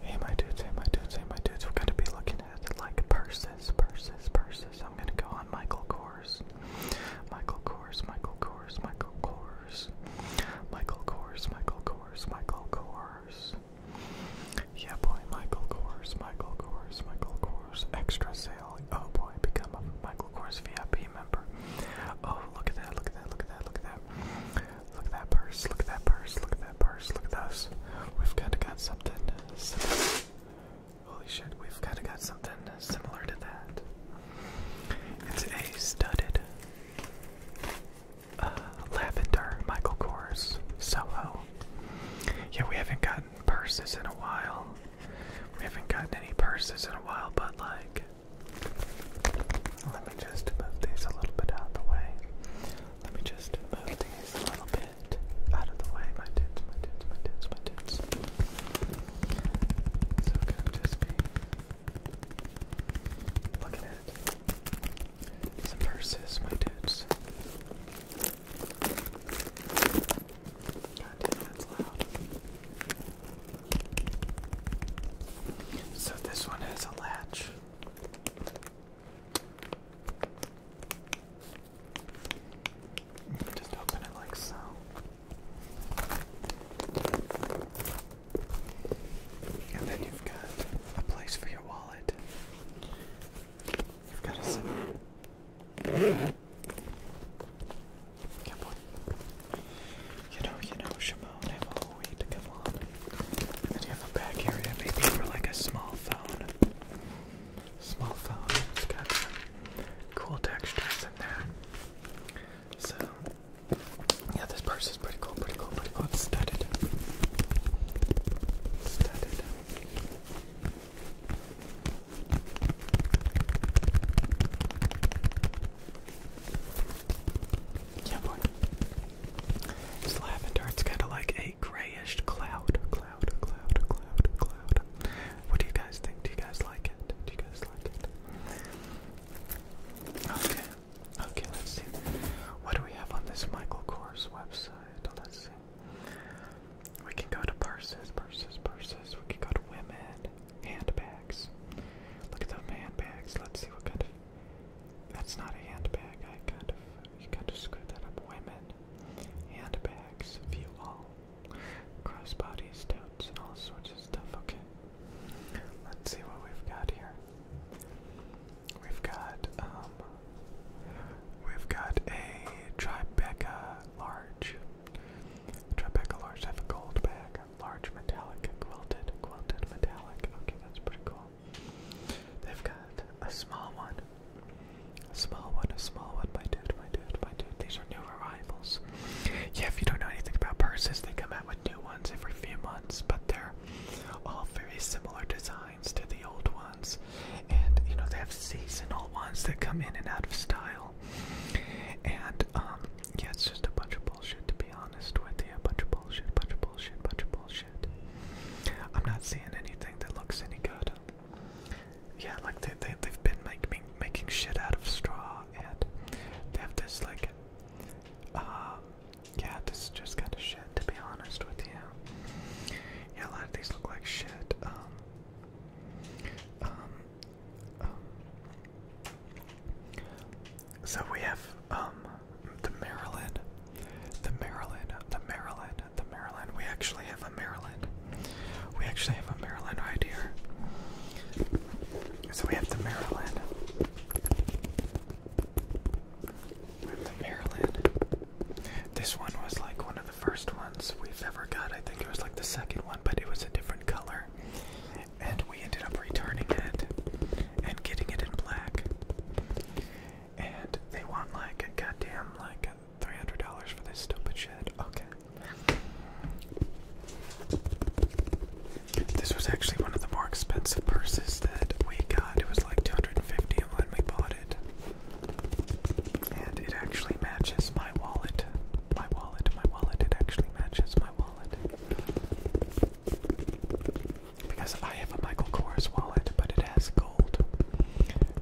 Hey my dudes, hey my dudes, hey my dudes, we're gonna be looking at like purses, purses, purses. I'm gonna go on Michael Kors. Michael Kors, Michael Kors, Michael Kors. Michael Kors, Michael Kors, Michael Kors. Yeah boy, Michael Kors, Michael Kors, Michael Kors. Extra sale. Oh boy, become a Michael Kors VIP member. Oh look at that, look at that, look at that, look at that. Look at that purse, look at that purse, look at that purse, look at those. We've kind of got something similar. Holy shit, we've kind of got something similar to that. It's a studded uh, lavender Michael Kors Soho. Yeah, we haven't gotten purses in a while. We haven't gotten any purses in a while, but like. Let me just move these a little bit out of the way. Let me just move these a little bit out of the way. My tits, my tits, my tits, my tits. So just be looking at some purses, my tits. God damn, that's loud. So this one has a latch. Just open it like so. And then you've got a place for your wallet. You've got a zipper. You know, you know, Shimon, wait, come on. And you have a back area maybe for like a small phone. Small phone. It's got cool textures in there. So yeah, this purse is pretty cool, pretty cool, pretty cool. It's studded. studded. Yeah, boy. It's lavender. It's kind of like a grayish cloud. Cloud, cloud, cloud, cloud. What do you guys think? Do you guys like it? Do you guys like it? Okay. Okay, let's see. What do we have on this Michael Kors website? Let's see. We can go to purses, purses, purses. We can go to women, handbags. Look at the handbags. Let's see what kind of that's not a handbag. I kind of, you kind of screwed that up. Women, handbags, view all, crossbodies, totes, and all sorts of stuff. Okay, let's see what we've got here. We've got, um, we've got a Tribeca large. Tribeca large. have a gold bag, large metallic, quilted, quilted metallic. Okay, that's pretty cool. They've got a small one. A small one, a small one, my dude, my dude, my dude. These are new arrivals. Yeah, if you don't know anything about purses, they come out with new ones every few months, but they're all very similar designs to the old ones. And, you know, they have seasonal ones that come in and out of style. And, um, yeah, it's just a bunch of bullshit, to be honest with you. A bunch of bullshit, bunch of bullshit, bunch of bullshit. I'm not seeing anything that looks any good. Yeah, like they, they, have been making making shit out of straw and they have this like um yeah, this just kind of shit to be honest with you. Yeah, a lot of these look like shit. um um, um so we have um the Maryland, the Maryland, the Maryland, the Maryland. We actually have a Maryland. We actually have a Maryland right here. So we have the Maryland. We have the Maryland. This one was like one of the first ones we've ever got. I think it was like the second one, but it was a different color. And we ended up returning it and getting it in black and they want like a goddamn like three hundred dollars for this stupid shit. Okay. This was actually one of the more expensive purses that we got. It was like 250 when we bought it. And it actually matches my wallet. My wallet, my wallet, it actually matches my wallet because I have a Michael Kors wallet, but it has gold.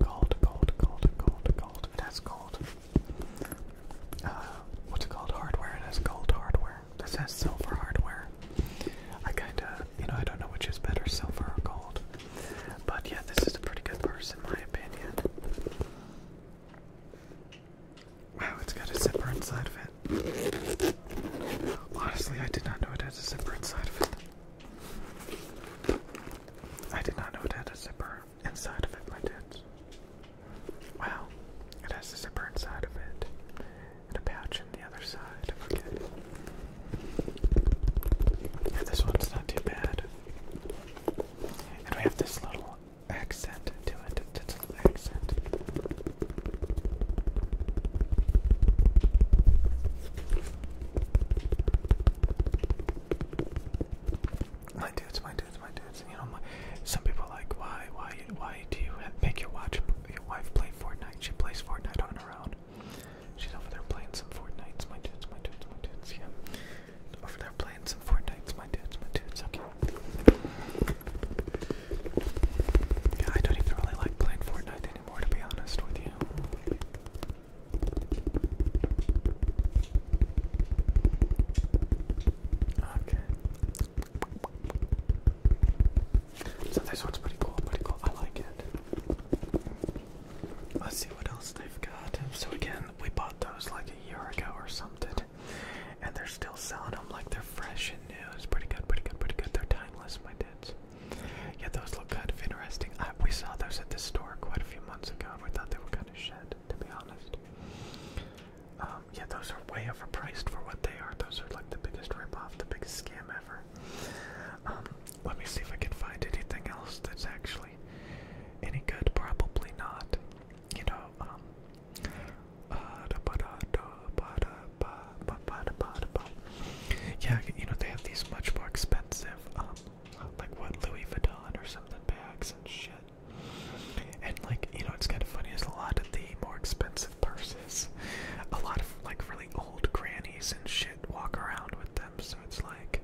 Gold, gold, gold, gold, gold. It has gold. Uh, what's it called? Hardware. It has gold hardware. This has silver hardware. I kinda, you know, I don't know which is better, silver or gold. But yeah, this is a pretty good purse in my opinion. Wow, it's got a zipper inside of it. Honestly, I did not know it had a zipper inside of it. I did not know it had a zipper inside of it, my dudes. Wow, it has a zipper inside of it and a pouch on the other side. this one's not too bad. And we have this little accent to it. It's an accent. My dudes, my dudes, my dudes. You know, my, some people like, why, why, why do you make your watch your wife play Fortnite? She plays Fortnite on her own. She's over there playing some Fortnites, my dudes, my dudes, my dudes. Yeah, over there playing some Fortnites, my dudes, my dudes. Okay. Yeah, I don't even really like playing Fortnite Okay. So this one's pretty cool, pretty cool. I like it. Let's see what else they've got. So again, we bought those like a year ago or something, and they're still selling them like they're fresh and new. It's pretty good, pretty good, pretty good. They're timeless, my dudes. Yeah, those look kind of interesting. I, we saw those at the store quite a few months ago, and we thought they were kind of shed, to be honest. Um, yeah, those are way overpriced for what they are. Those are like the biggest ripoff, the biggest scam ever. Um, let me see if I can find anything else that's actually any good. Probably not. You know, um, uh, da, ba, da, da, ba, da, yeah, you know, they have these much more expensive, um, like what, Louis Vuitton or something bags and shit. And, like, you know, it's kind of funny, is a lot of the more expensive purses, a lot of, like, really old grannies and shit walk around with them, so it's like,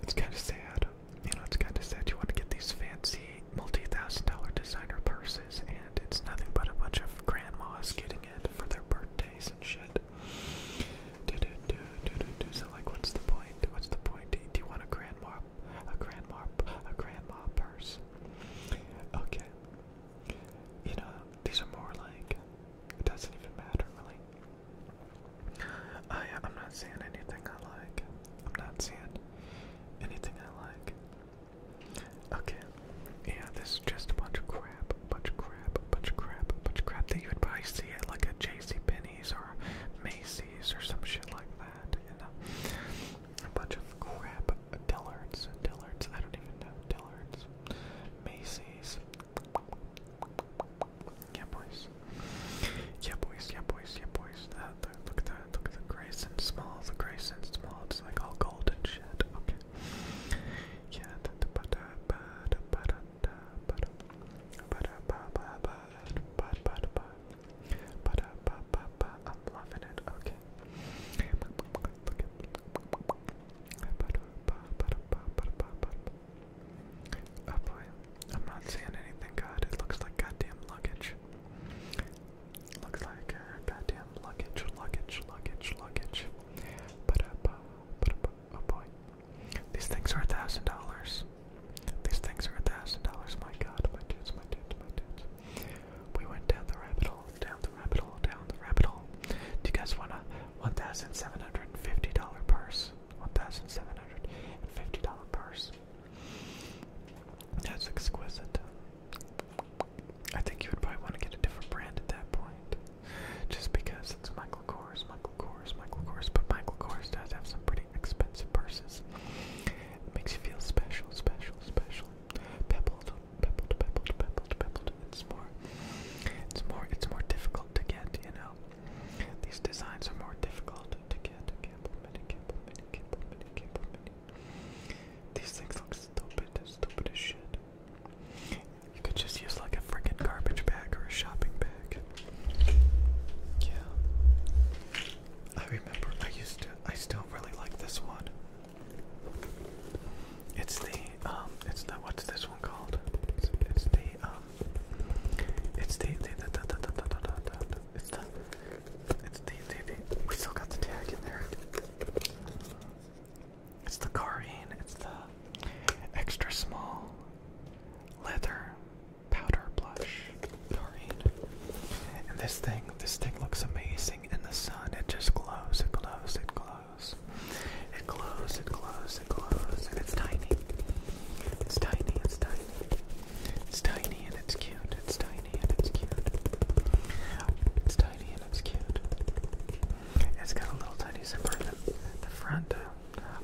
it's kind of sad. You know, it's kind of sad. You want to get these fancy multi thousand dollar designer purses, and it's nothing but a bunch of grandmas getting it for their birthdays and shit. Do do do do do do. So like, what's the point? What's the point? Do you, do you want a grand mop, a grand mop, a grandma purse? Okay. You know, these are more like it doesn't even matter really. I I'm not seeing anything I like. I'm not seeing anything I like. Okay. Yeah, this is just a bunch of crap, bunch of crap, bunch of crap, bunch of crap that you would probably see at like a JC Penney's or Macy's or some shit like that. You know, a bunch of crap. Dillard's, Dillard's. I don't even know Dillard's. Macy's. Yeah, boys. Yeah, boys. Yeah, boys. Yeah, boys. Uh, the, look at that. Look at the Grayson Small. The Grayson Small. It's like all gold and shit. Okay. Yeah, I'm loving it. Okay. Look at Oh boy, I'm not seeing anything. God, it looks like goddamn luggage. Looks like uh, goddamn luggage, luggage, luggage, luggage. But up, but up, oh boy. These things are a thousand dollars. These things are a thousand dollars. My god, my dudes, my dudes, my dudes. We went down the rabbit hole, down the rabbit hole, down the rabbit hole. Do you guys want a one thousand seven hundred and fifty dollar purse? One thousand seven hundred and fifty dollar purse. That's exquisite. I think you would probably want to get a different brand at that point. Just because it's Michael Kors, Michael Kors, Michael Kors, but Michael Kors does have some pretty expensive purses. It makes you feel special, special, special. Pebbled, pebbled, pebbled, pebbled, pebbled. It's more, it's more, it's more difficult to get, you know. These designs are more difficult to get. Gamble, mini, gamble, mini, gamble, mini, gamble, mini. These things look stupid, stupid as shit. You could just use like a freaking garbage bag or a shopping bag. Yeah. I remember I used to I still really like this one. It's the um it's the what's this one called? It's, it's the um it's the the the the the the the it's the it's the the the we still got the tag in there. It's the Carine. it's the extra small leather powder blush careen. this thing, this thing looks amazing in the sun. It just glows, it glows, it glows. It glows, it glows, it glows, and it's tiny. It's tiny, it's tiny. It's tiny and it's cute. It's tiny and it's cute. It's tiny and it's cute. It's got a little tiny zipper in the, front.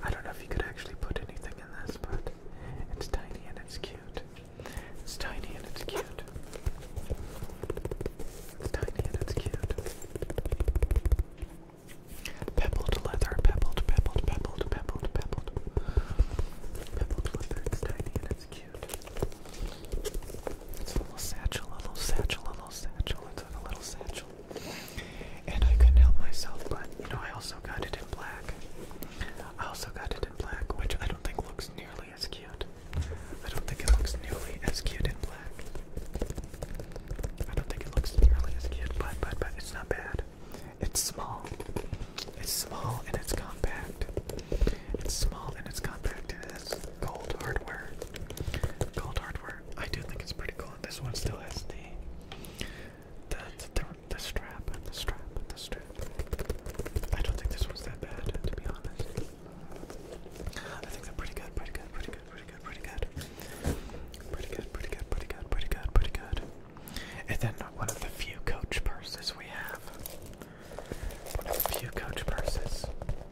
I don't know if you could actually put anything in this, but it's tiny and it's cute. It's tiny and it's cute. It's tiny and it's cute. Pebbled leather, pebbled, pebbled, pebbled, pebbled, pebbled. Pebbled leather, it's tiny and it's cute. It's a little satchel, a little satchel, a little satchel to the little satchel. And I couldn't help myself, but you know, I also got it in black. I also got it in black, which I don't think looks nearly as cute. I don't think it looks nearly as cute in black. I don't think it looks nearly as cute, but but but it's not bad. It's small. It's small and it's compact. It's small and it's compact and it has gold hardware. Gold hardware. I do think it's pretty cool. And this one still has the the the, the, the strap and the strap and the strap. I don't think this one's that bad, to be honest. I think they're pretty good, pretty good, pretty good, pretty good, pretty good. Pretty good, pretty good, pretty good, pretty good, pretty good. And then one of the few coach purses we have. One of the few coach purses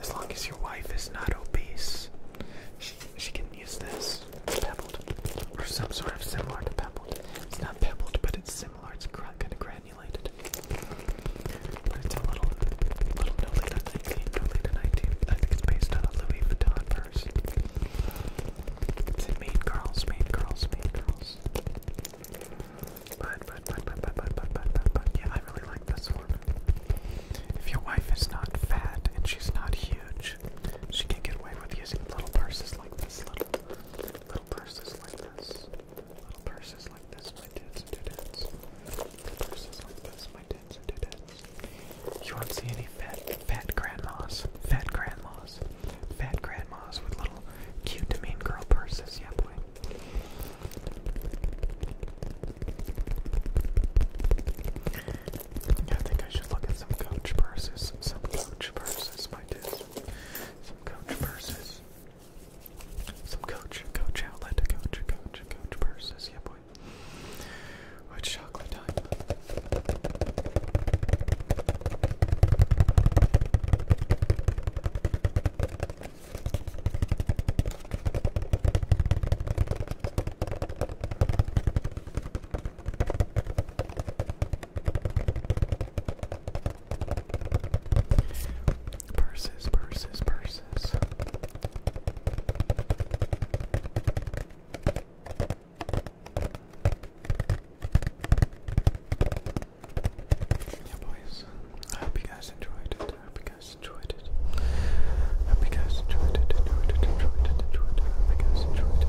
As long as your wife is not obese, she, she can use this. It's pebbled, or some sort of similar to pebbled. It's not pebbled, but it's similar. It's kind of granulated. But it's a little, little no later 19, no later 19. I think it's based on a Louis Vuitton purse. It's in Girls, Mean Girls, Mean Girls. But, but, but, but, but, but, but, but, but, but, yeah, if your wife is not fat and she's not huge, she can get away with using little purses like this. Little, little purses like this. Little purses like this, my dudes and Little purses like this, my dudes and You won't see any fat, fat grandmas, fat grandmas, fat grandmas with little cute, mean girl purses. Yep. I think I should look at some coach purses. Some coach purses, my dude. Some coach purses. Some coach, coach outlet, coach, coach, coach purses. Yeah, boy. What chocolate time. Purses, purses, purses. Yeah, boys. I hope you guys enjoyed it you guys enjoyed it. Hope you guys enjoyed it, enjoyed it, enjoyed it, Hope you guys enjoyed it.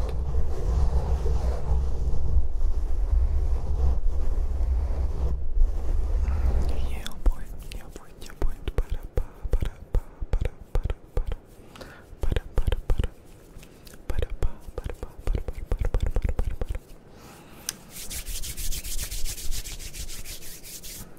Yeah boy, yeah boy, yeah boy. Ba-da, ba, ba-da, ba, ba-da, ba-da, ba-da. Ba-da, ba-da, ba-da. Ba-da, ba, ba-da, ba, ba-da, ba-da, ba-da, ba-da, ba-da, ba-da.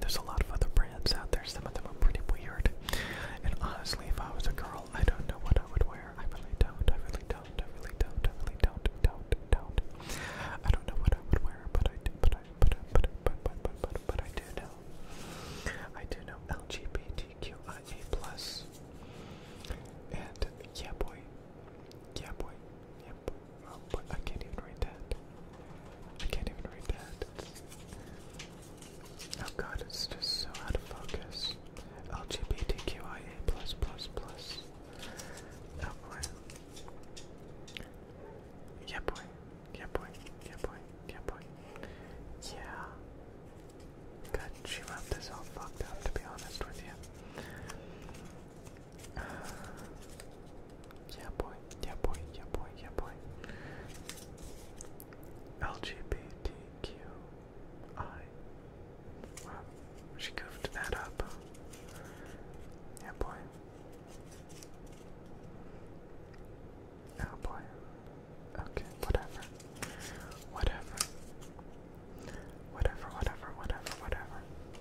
There's a lot of other brands out there. Some of them are pretty weird. And honestly, if I was a girl, I don't know what I would wear. I really don't. I really don't. I really don't. I really don't. Don't. Don't. I don't know what I would wear, but I do. But I. But I. But I. But but but but, but I do know. I do know LGBTQIA plus. And yeah, boy. Yeah, boy. Yeah, boy. Oh, I can't even read that. I can't even read that. Oh god, it's just so out of focus. LGBTQIA plus plus plus. Oh, yeah boy. Yeah boy. Yeah boy. Yeah boy. Yeah. God, she wrote this all fucked up to be honest with you. Uh, yeah, boy. Yeah, boy. Yeah, boy. Yeah, boy. LGBTQI. Wow, she goofed that up. Yeah, boy. Oh boy. Okay, whatever. Whatever. Whatever, whatever, whatever, whatever.